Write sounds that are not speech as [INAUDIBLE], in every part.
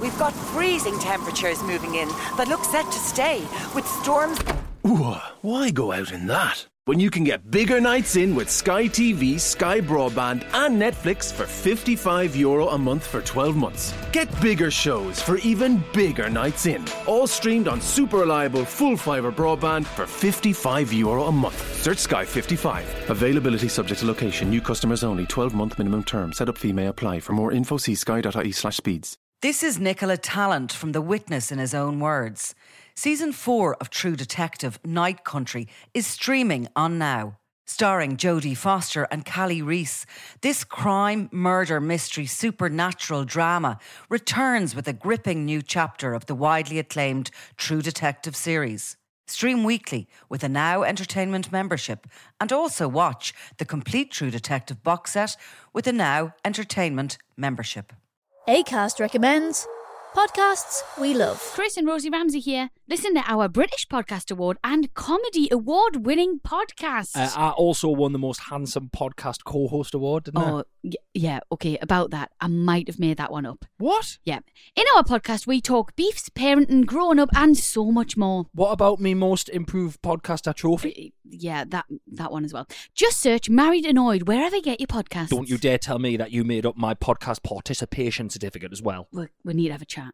We've got freezing temperatures moving in that look set to stay, with storms. Ooh, why go out in that? When you can get bigger nights in with Sky TV, Sky Broadband, and Netflix for €55 Euro a month for 12 months. Get bigger shows for even bigger nights in. All streamed on super reliable full fibre broadband for €55 Euro a month. Search Sky 55. Availability subject to location. New customers only. 12 month minimum term. Set up fee may apply. For more info, see sky.ie slash speeds. This is Nicola Talent from The Witness in his own words. Season 4 of True Detective Night Country is streaming on now. Starring Jodie Foster and Callie Reese, this crime, murder, mystery, supernatural drama returns with a gripping new chapter of the widely acclaimed True Detective series. Stream weekly with a Now Entertainment membership and also watch the complete True Detective box set with a Now Entertainment membership. ACAST recommends podcasts we love. Chris and Rosie Ramsey here. Listen to our British Podcast Award and Comedy Award winning podcast. Uh, I also won the Most Handsome Podcast Co host award, oh, yeah, okay, about that. I might have made that one up. What? Yeah. In our podcast, we talk beef life, parenting, growing up, and so much more. What about me most improved podcaster trophy? Uh, yeah, that that one as well. Just search Married Annoyed wherever you get your podcast. Don't you dare tell me that you made up my podcast participation certificate as well. We, we need to have a chat.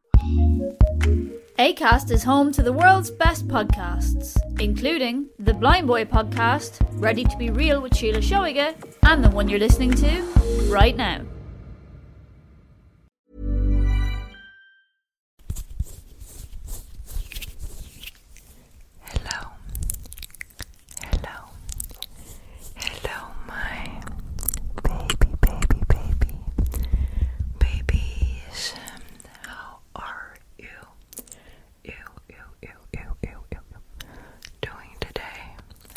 ACAST is home to the world's best podcasts, including the Blind Boy podcast, Ready to Be Real with Sheila Shoiger, and the one you're listening to right now. Hello, hello, hello, my baby, baby, baby, babies. Um, how are you? You, you, you, you, you, you, you, doing today?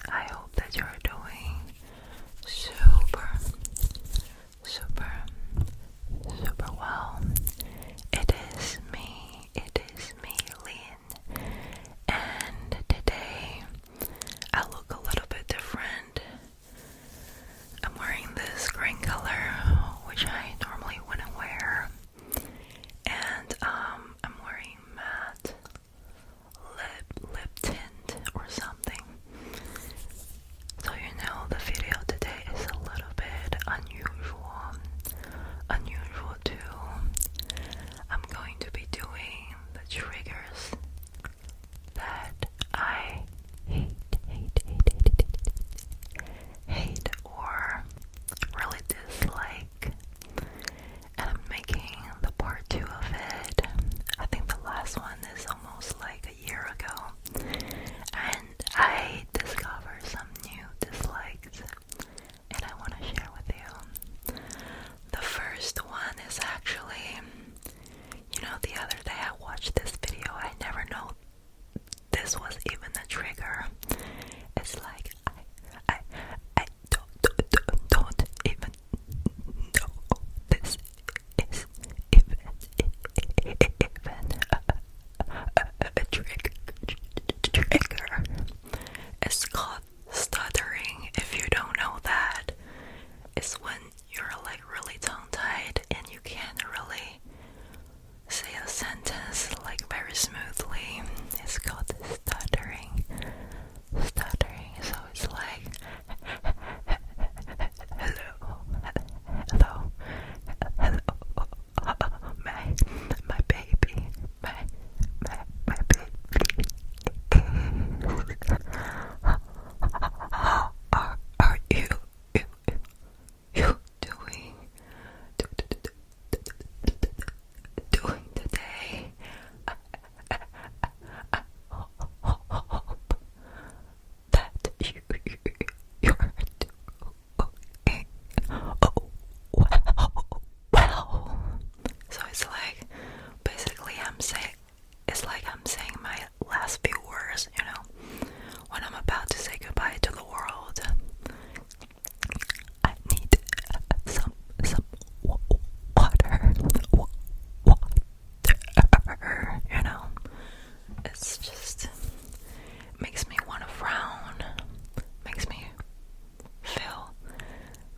I hope that you're doing super, super, super well. It is me, it is me, Lynn, and today I look a little bit different. I'm wearing this green color, which I normally wouldn't wear, and um, I'm wearing matte lip lip tint or something. So you know the video today is a little bit unusual, unusual too. I'm going to be doing the triggers that I hate, hate, hate, hate, hate, hate, or really dislike. And I'm making the part two of it. I think the last one is almost like year ago, and I discovered some new dislikes, and I want to share with you. The first one is actually, you know, the other day I watched this video, I never know this was even a trigger. It's like, I, I, I don't, don't, don't even know this is even, even a, a, a trigger, trigger. It's called stuttering. If you don't know that, it's when you're like really tongue-tied and you can't really say a sentence like very smoothly. It's called stuttering. Stuttering. So it's like hello, hello, hello, my my baby, my my my baby. How are, are you, you you doing do, do, do, do, do, doing today? I, I, I, I hope that you, are doing. Oh wow, wow. So it's like basically I'm saying it's like I'm saying my last few words, you know, when I'm about to say goodbye to the world. I need some some Water you know, it's just makes me want to frown, makes me feel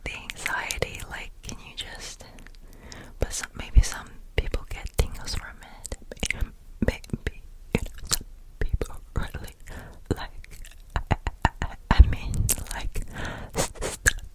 the anxiety. Like, can you just? But some, maybe some people get tingles from it. Maybe some people really like. I mean, like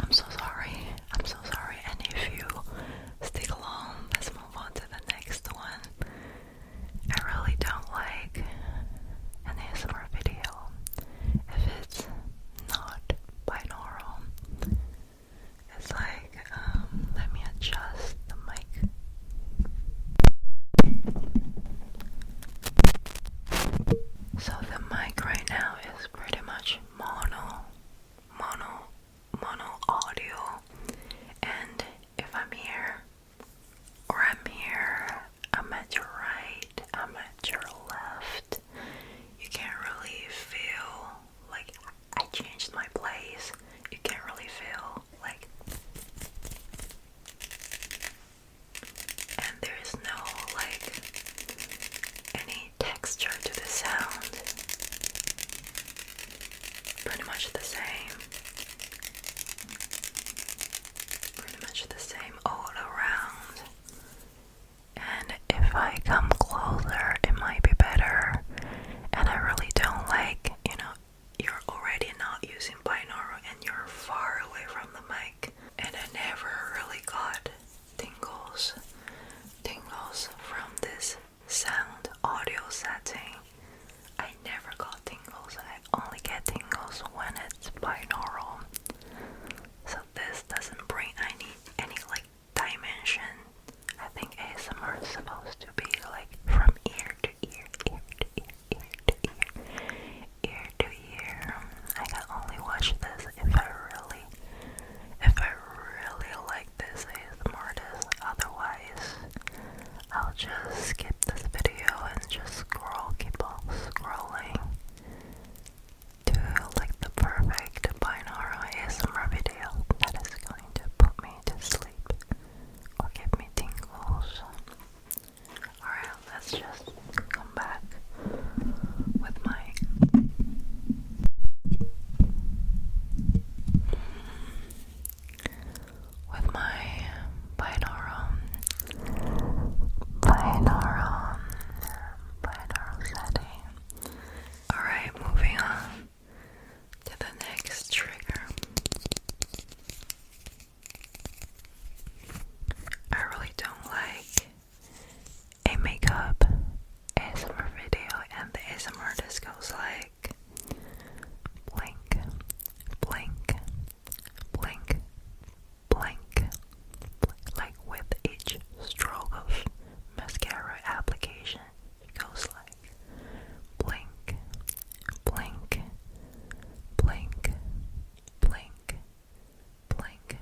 I'm so sorry. I'm so sorry. And if you stick along, let's move on to the next one. I really don't like an ASMR video if it's not binaural. It's like, um, let me adjust the mic. So the mic right now is pretty much mono, mono mono audio, and if I'm here or I'm here, I'm at your right, I'm at your left, you can't really feel like I changed my place, you can't really feel like. And there is no like any texture to the sound. Pretty much the same. Pretty much the same all around. And if I come closer, it might be better. And I really don't like, you know, you're already not using binaural and you're far away from the mic. And I never really got tingles, tingles from this sound audio setting. I never got tingles, I only get tingles when it's binaural. So this doesn't bring any any like dimension. I think ASMR is supposed to be like from ear to ear, ear to ear, ear to ear, I can only watch this if I really if I really like. This is ASMR is, otherwise I'll just skip this video and just scroll, keep on scrolling to like the perfect binaural ASMR video that is going to put me to sleep or give me tingles. Alright, let's just come back with my with my binaural, binaural, binaural setting. Alright, moving on to the next trigger. I really don't like a makeup ASMR video, and the ASMR just goes like blink, blink, blink, blink, like with each stroke of mascara application, it goes like blink, blink, blink, blink, blink.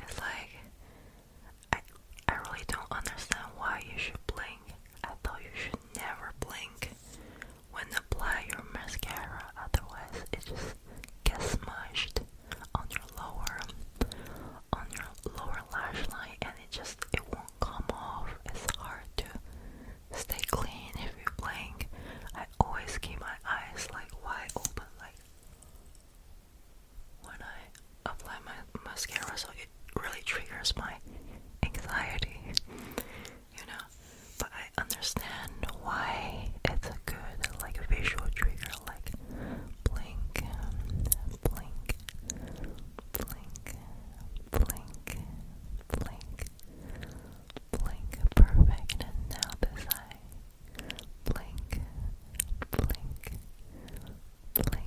It's like I I really don't understand why you should blink. I thought you should never blink when apply your mascara, otherwise it just gets smushed on your lower on your lower lash line and it just it won't come off. It's hard to stay clean if you blink. I always keep my eyes like wide open like when I apply my mascara, so it really triggers my anxiety, you know. But I understand why it's a good, like, a visual trigger, like blink, blink, blink, blink, blink, blink. Perfect. now this eye. Blink, blink, blink,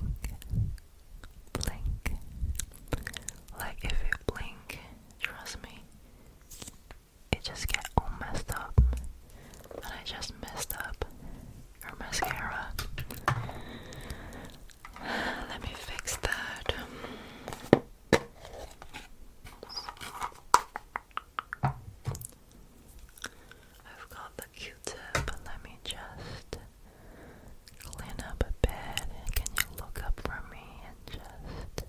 blink. Like if you blink, trust me, it just get all messed up. And I just messed up your mascara. [SIGHS] Let me fix that. I've got the q Let me just clean up a bit. Can you look up for me and just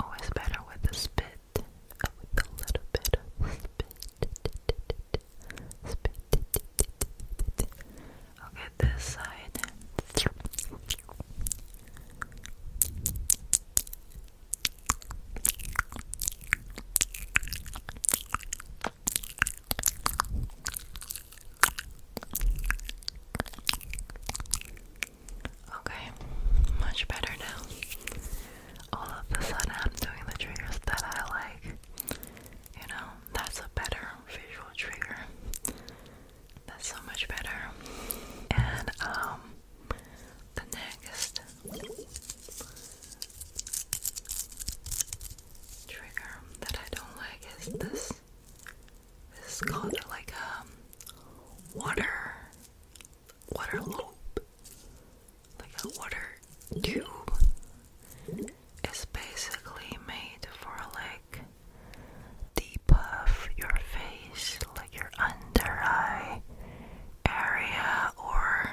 always better with the spit, with a little bit of spit. Spit. Okay, this side. Okay, much better now. All of a sudden, I'm doing the triggers that I like. You know, that's a better visual trigger. That's so much better. And um, the next trigger that I don't like is this. This is called like a um, water water loop. Like a water tube. It's basically made for like deep your face, like your under eye area, or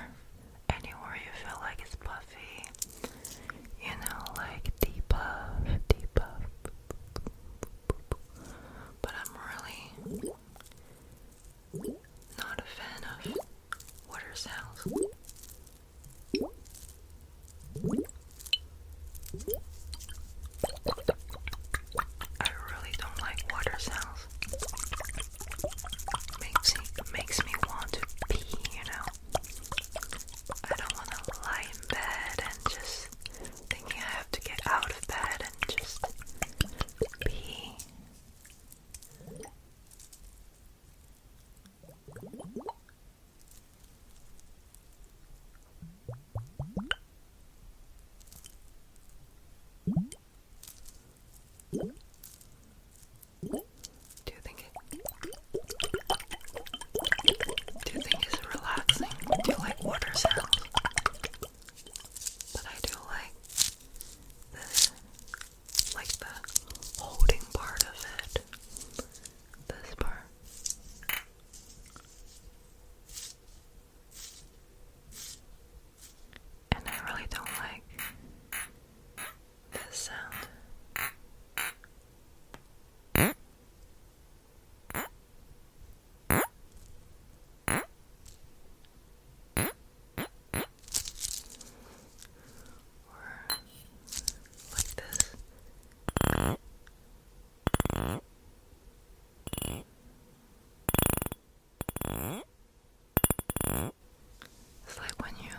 anywhere you feel like it's puffy. You know, like deep of, But I'm really not a fan of water sounds. I really don't like water sounds. Makes me makes me want to pee, you know. I don't want to lie in bed and just think. I have to get out of bed and just pee. Do you think it do you think it's relaxing? Do you like water sounds? But I do like this like the holding part of it. This part. And I really don't like this sound. Or like this. It's like when you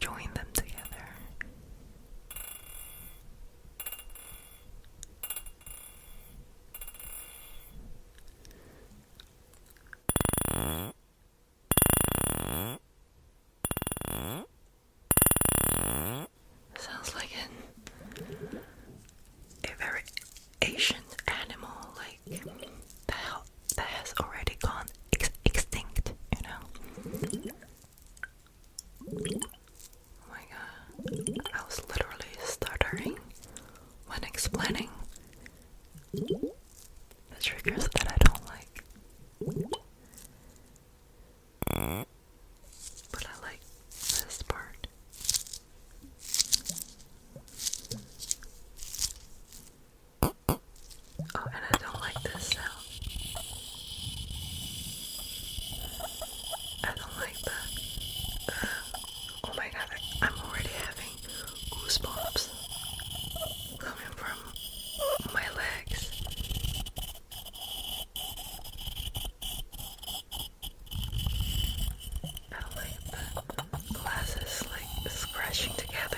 join them together. Sounds like an, a very ancient animal, like that, that has already gone extinct, you know. Oh my god, I was literally stuttering when explaining the triggers that I don't like. But I like this part. Oh, and I don't like this sound. I don't like that. Uh, oh my god, I'm already having goosebumps coming from my legs. I like glasses like scratching together.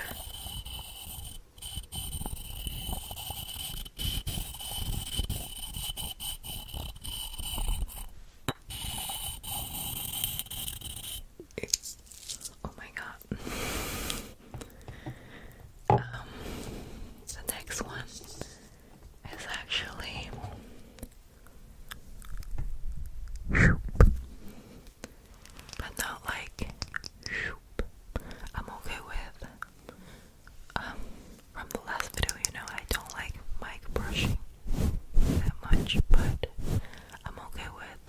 It's, oh my god. [LAUGHS] Um, the next one is actually but not like I'm okay with um, from the last video you know I don't like mic brushing that much but I'm okay with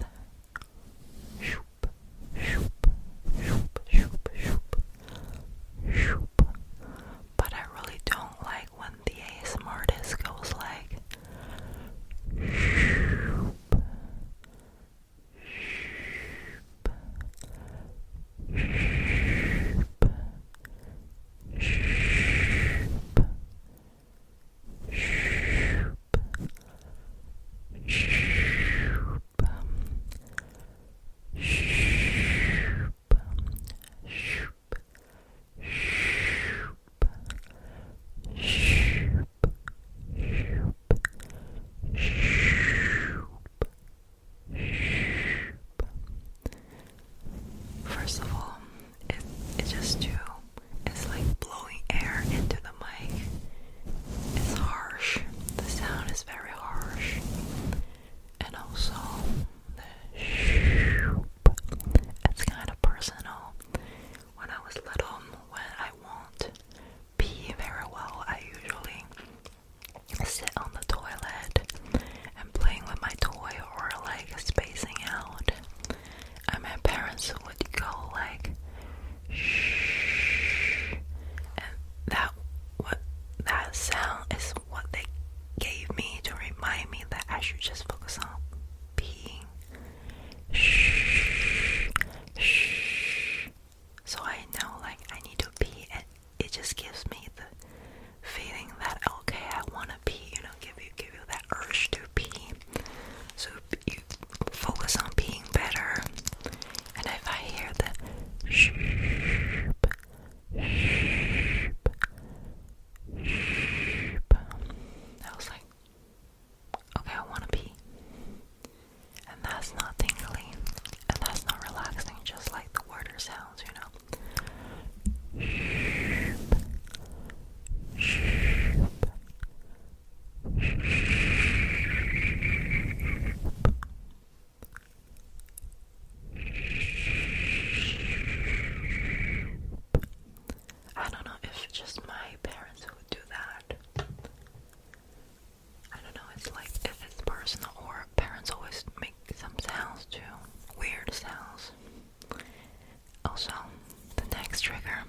shoop, shoop, shoop, shoop, shoop. But I really don't like when the ASMR goes like shoop, shoop, shoop, shoop. Shoop, shoop, shoop, shoop, shoop, shoop, shoop, First of all, it, it just too, it's like blowing air into the mic. It's harsh. The sound is very harsh. And also the shoop. It's kind of personal. When I was little, when I won't pee very well, I usually sit on the toilet and playing with my toy or like spacing out. And my parents would go like shh, and that what that sound is what they gave me to remind me that I should just focus on being shh, shh. So I know like I need to pee, and it just gives me the feeling that okay, I want to pee. You know, give you give you that urge to pee. So focus on being better. And if I hear the sheep, sheep, sheep, I was like, okay, I want to pee. And that's not tingling, and that's not relaxing, just like the water sounds, you know. Sheep, sheep, I don't know if just my parents would do that. I don't know, it's like if it's personal or parents always make some sounds too. Weird sounds. Also, the next trigger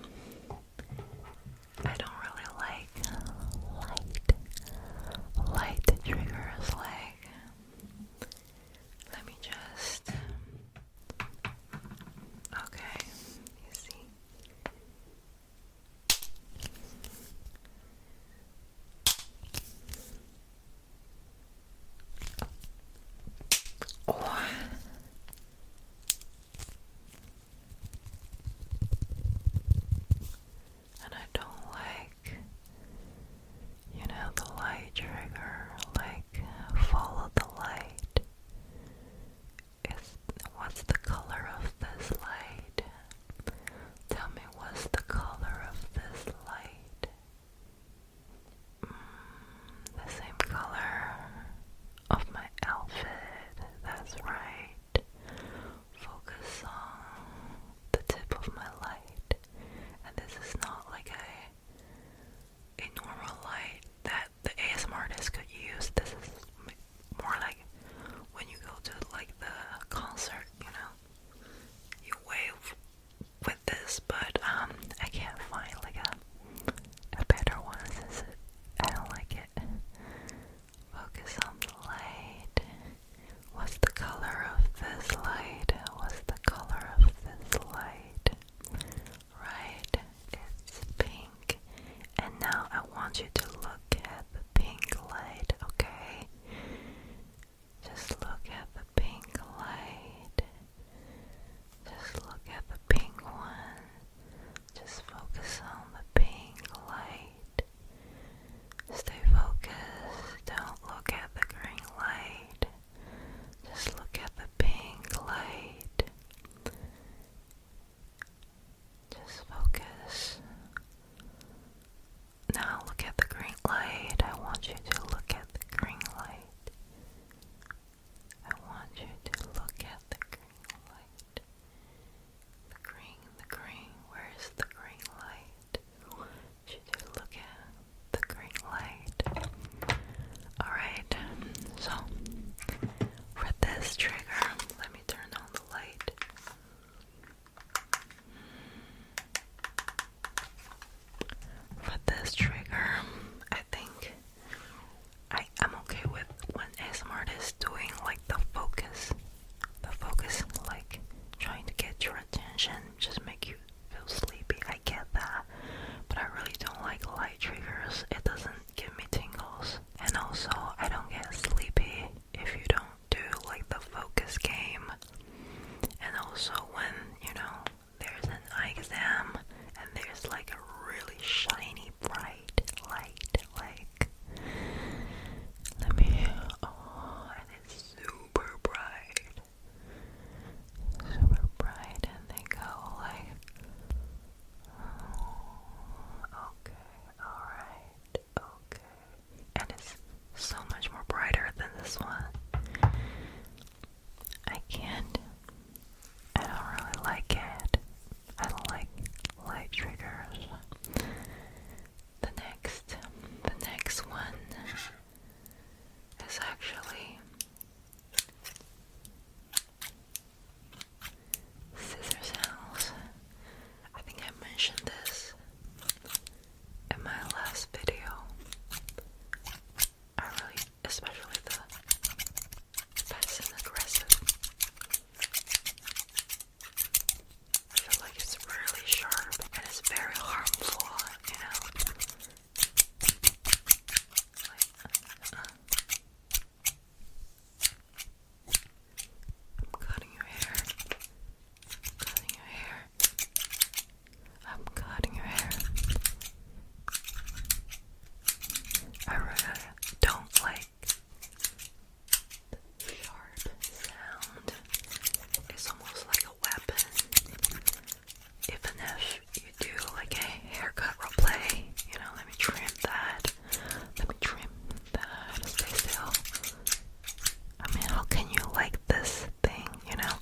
I don't really like light, light triggers. Like, let me just. Okay, you see. And I don't like, you know, the light trigger, like follow the light. It's, what's the color of this light? Tell me what's the color of this light? Mm, the same color of my outfit, that's right focus on the tip of my light. And this is not like a, a normal light that the ASM artist could use. This is more like when you go to like the concert, you know, you wave with this, but um, I can't find like a a better one since it, I don't like it. Focus on the light. What's the color of this light? What's the color of this light? Right, it's pink. And now I want you to look at the pink light, okay? Just look at the pink light. Just look at the pink one. Just focus on the pink light. Stay focused. Don't look at the green light. Just look at the pink light. Just focus. Now look at the green light. I want you to look at the green light. I want you to look at the the green, the green, where is the green light? should you look at? The green light. Alright, so for this trigger, let me turn on the light. For this trigger, I think I am okay with when ASMR is doing like the focus but focusing like trying to get your attention just make you feel sleepy. I get that. But I really don't like light triggers. It doesn't give me tingles. And also I don't get sleepy if you don't do like the focus game. And also when, you know, there's an eye exam and there's like a really shiny bright light, like. Let me. Oh, and it's super bright. Super bright, and they go like. okay, alright, okay. And it's so much more brighter than this one. I can't. I don't really like it. I don't like light triggers. The next, the next one is actually scissor sounds. I think I mentioned this in my last video. I really, especially the passive aggressive I feel like it's really sharp and it's very harmful, you know. I'm cutting your hair. cutting your hair. I'm cutting your hair. I really don't like sharp sound. It's almost like a weapon. Even if you do like a haircut role play, you know, let me trim that. Let me trim that. Stay still. I mean, how can you like this thing, you know?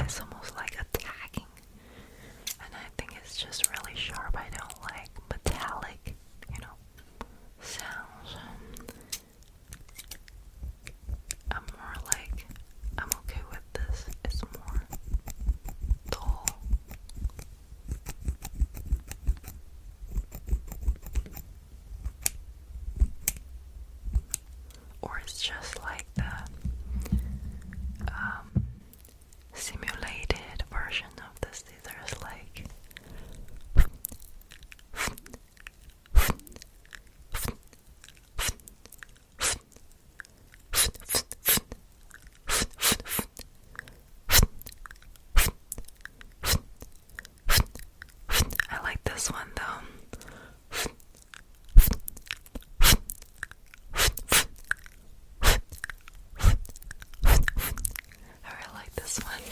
It's almost like attacking. And I think it's just really sharp. I don't like metallic, you know, sounds. Um, I'm more like, I'm okay with this. It's more dull. Or it's just like the um, simulated version of the scissors, like I like this one though. I really like this one.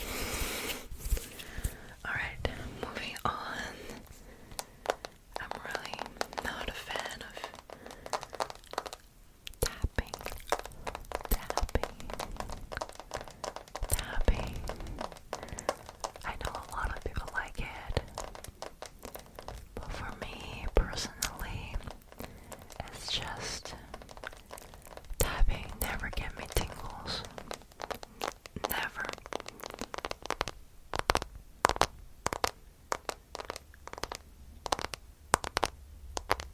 Alright, moving on. I'm really not a fan of tapping, tapping, tapping. I know a lot of people like it, but for me personally, it's just Tapping never get me tingles. Never.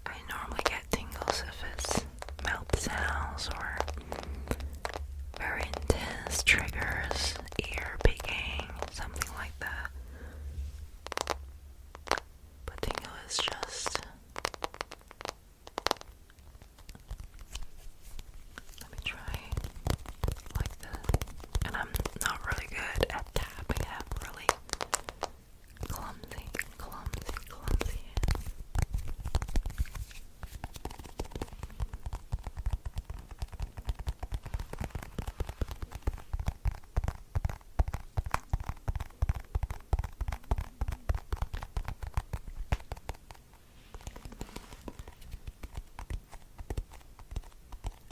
I normally get tingles if it's mouth sounds or very intense triggers, ear picking, something like that. But tingle just let me try like this. And I'm not really good at tapping. I have really clumsy, clumsy, clumsy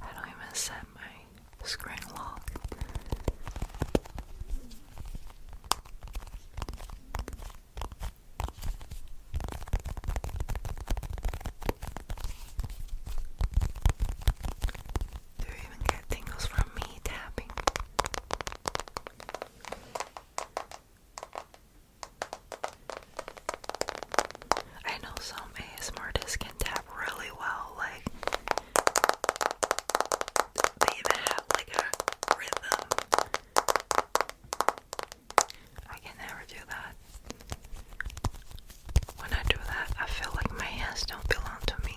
I don't even set my screen lock. Do you even get tingles from me tapping? I know some ASMR artists can tap really well, like they even have like a rhythm. I can never do that. When I do that, I feel like my hands don't belong to me.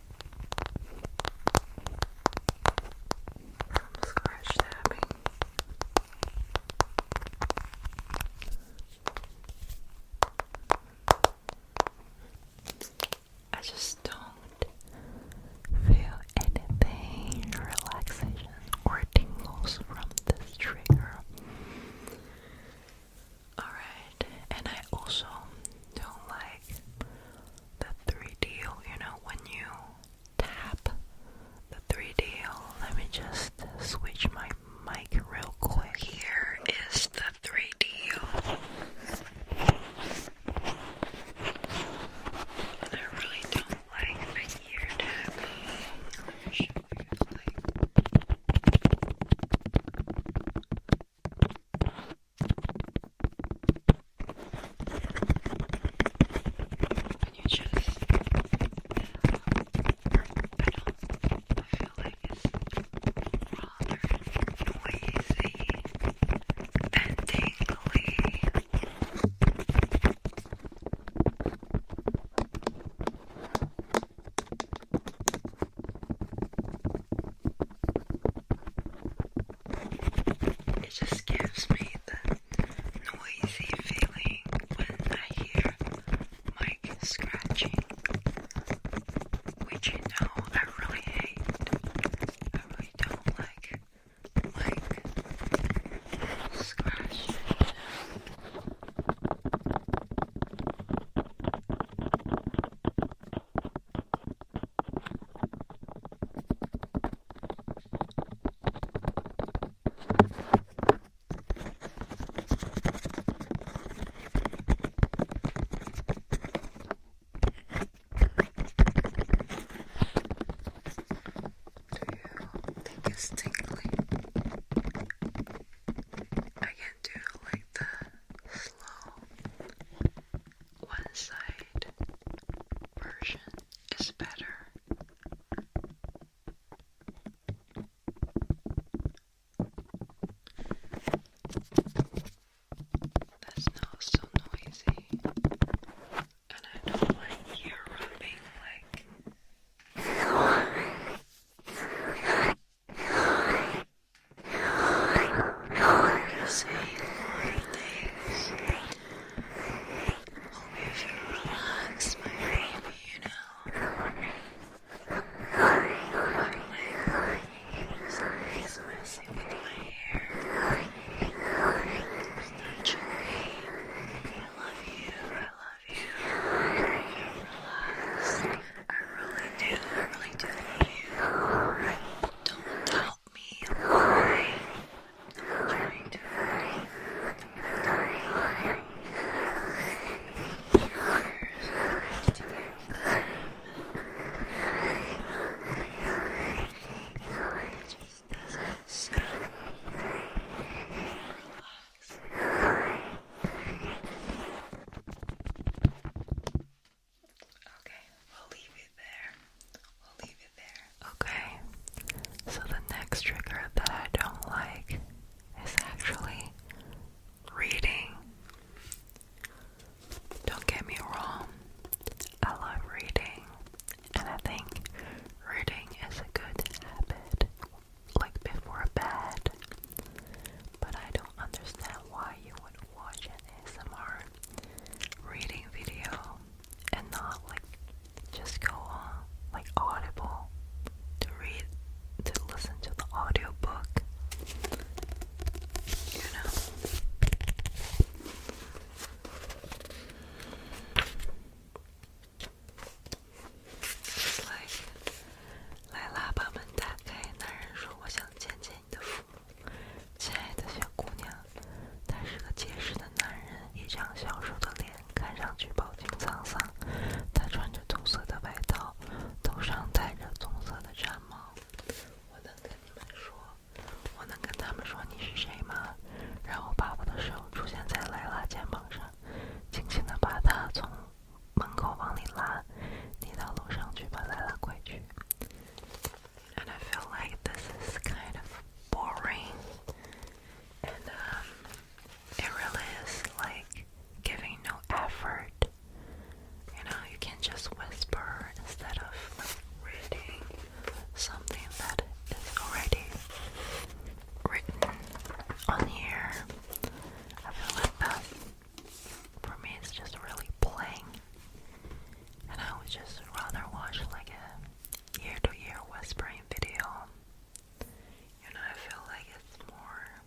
Some scratch tapping. I just don't feel anything relaxation or tingles from this trigger. Alright, and I also don't like the 3D, you know, when you tap the 3D, let me just switch my mic real quick. Here is the 3D. And I really don't like the ear tapping. Like... When you just I don't I feel like it's rather noisy and tingly. It just gives me the noisy feeling when I hear Mike scratching, which you know I really hate. I really don't like Mike scratching you think it's tingly? I can do like the slow one side version is better. That's not so noisy. And I don't like ear rubbing like Hope you feel relaxed, my baby, you know. My leg is messing with my hair. It's touching me. I love you, I love you. Relax. I really do, I really do love you. Don't doubt me alive. Trying to find to get it just doesn't stop. Relax. Okay, we'll leave it there. We'll leave it there. Okay, so the next trigger that I don't like is actually reading. Don't get me wrong, I love reading, and I think reading is a good habit, like before bed. But I don't understand why you would watch an ASMR reading video and not like just go on like Audible to read to listen to the audiobook. You know. It's like 来啦，爸们，打开男人说：“我想见见你的父亲爱的小姑娘，他是个结实的男人，一张消瘦的脸，看上去饱经沧桑。他穿着棕色的外套，头上戴着棕色的毡帽。我能跟你们说，我能跟他们说你是谁吗？然后爸爸的手出现在莱拉肩膀上，轻轻的把她从门口往里拉。你到楼上去吧，莱拉，快去。and I feel like this is kind of boring, and um, it really is like giving no effort. You know, you can just whisper instead of reading something that is already written on here. I feel like that for me it's just really plain. And I would just rather watch like a year to year whispering video. You know, I feel like it's more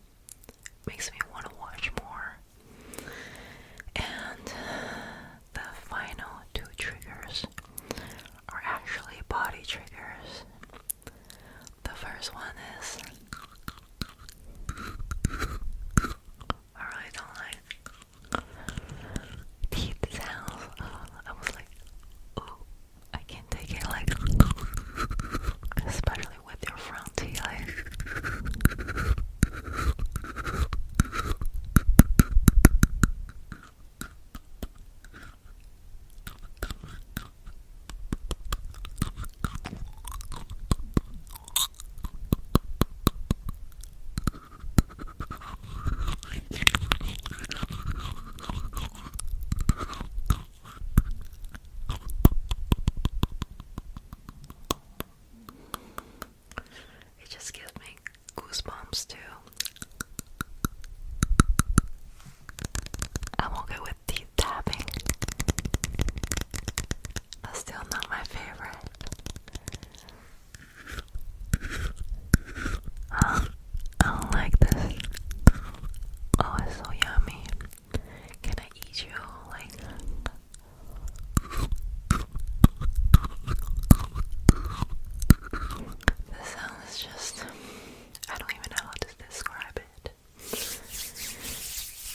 makes me want to watch more. And the final two triggers are actually body triggers. The first one is I teeth sounds. Uh, I was like, oh, I can take it. Like, especially with your front teeth. It just gives me goosebumps too. I'm okay with teeth tapping. That's still not my favorite. I don't like this. Oh, it's so yummy. Can I eat you? Like. The sound is just. I don't even know how to describe it.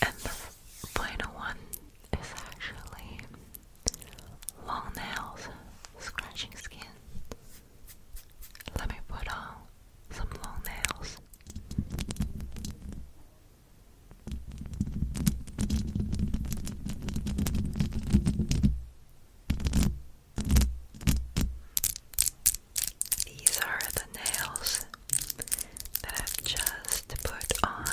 And the final one is actually long nails, scratching skin. Let me put on some long nails. These are the nails that I've just put on.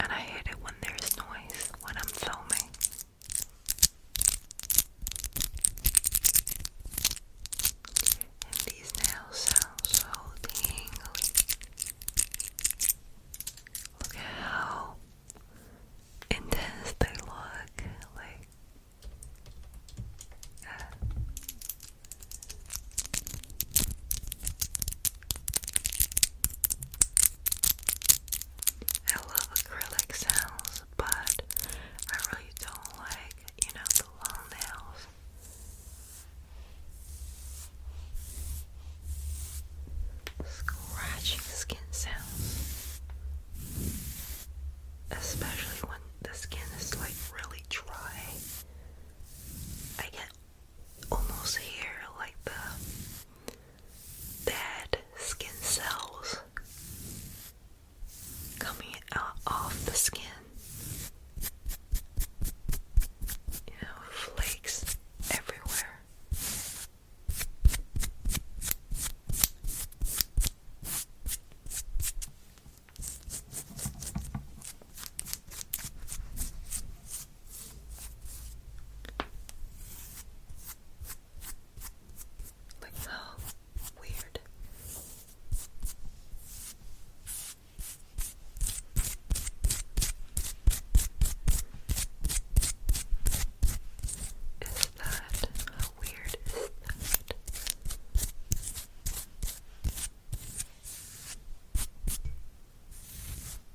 And I hate it when there's noise when I'm filming. And these nails sound so tingly. Look at how intense they look. Like, uh, I love acrylic sounds, but I really don't like, you know, the long nails. Scratching skin sounds. Especially when the skin is like really dry. I get almost here, like the dead skin cells coming out off the skin. You know, flakes everywhere. Like so weird. Is that how weird is that?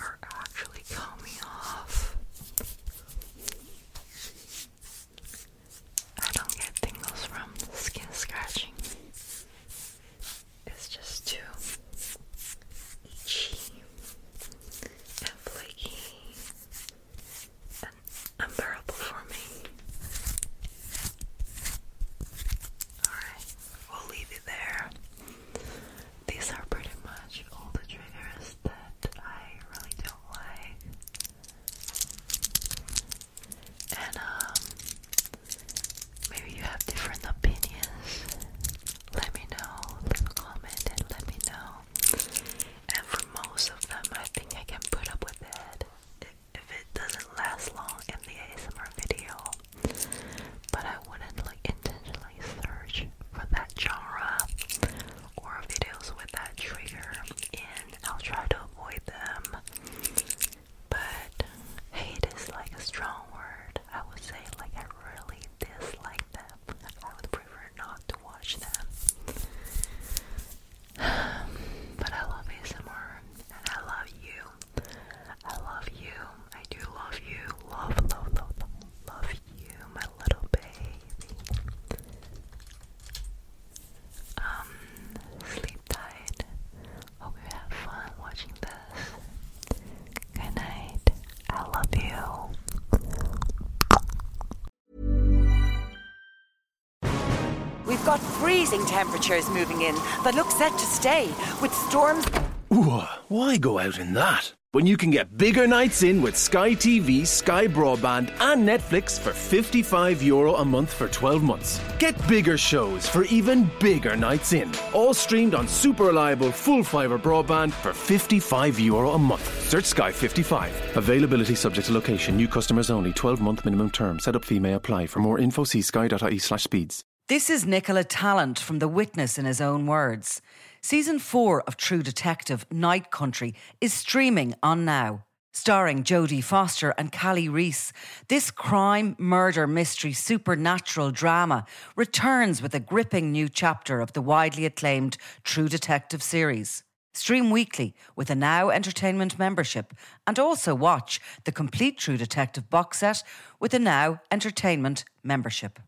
are actually coming off. I don't get tingles from skin scratching. It's just too itchy and flaky and unbearable for me. Alright, we'll leave it there. These are pretty much all the triggers that I really don't like. And um maybe you have different opinions. Let me know. Leave a comment and let me know. And for most of them I think I can put up with it if it doesn't last long in the ASMR video. But I wouldn't like intentionally search for that genre or videos with that trigger, and I'll try to avoid them. But hate is like a strong word. I would say like I really dislike them. I would prefer not to watch them. [SIGHS] but I love ASMR and I love you. I love you. I do love you. Love, love, love, love, love you, my little baby. Um, sleep tight. Hope you have fun watching this. Good night. I love you. We've got freezing temperatures moving in that look set to stay with storms. Ooh, why go out in that? when you can get bigger nights in with Sky TV, Sky Broadband, and Netflix for €55 Euro a month for 12 months. Get bigger shows for even bigger nights in. All streamed on super reliable full fibre broadband for €55 Euro a month. Search Sky 55. Availability subject to location, new customers only, 12 month minimum term. Setup fee may apply. For more info, see sky.ie slash speeds. This is Nicola Talent from The Witness in his own words. Season 4 of True Detective Night Country is streaming on now. Starring Jodie Foster and Callie Reese, this crime, murder, mystery, supernatural drama returns with a gripping new chapter of the widely acclaimed True Detective series. Stream weekly with a Now Entertainment membership and also watch the complete True Detective box set with a Now Entertainment membership.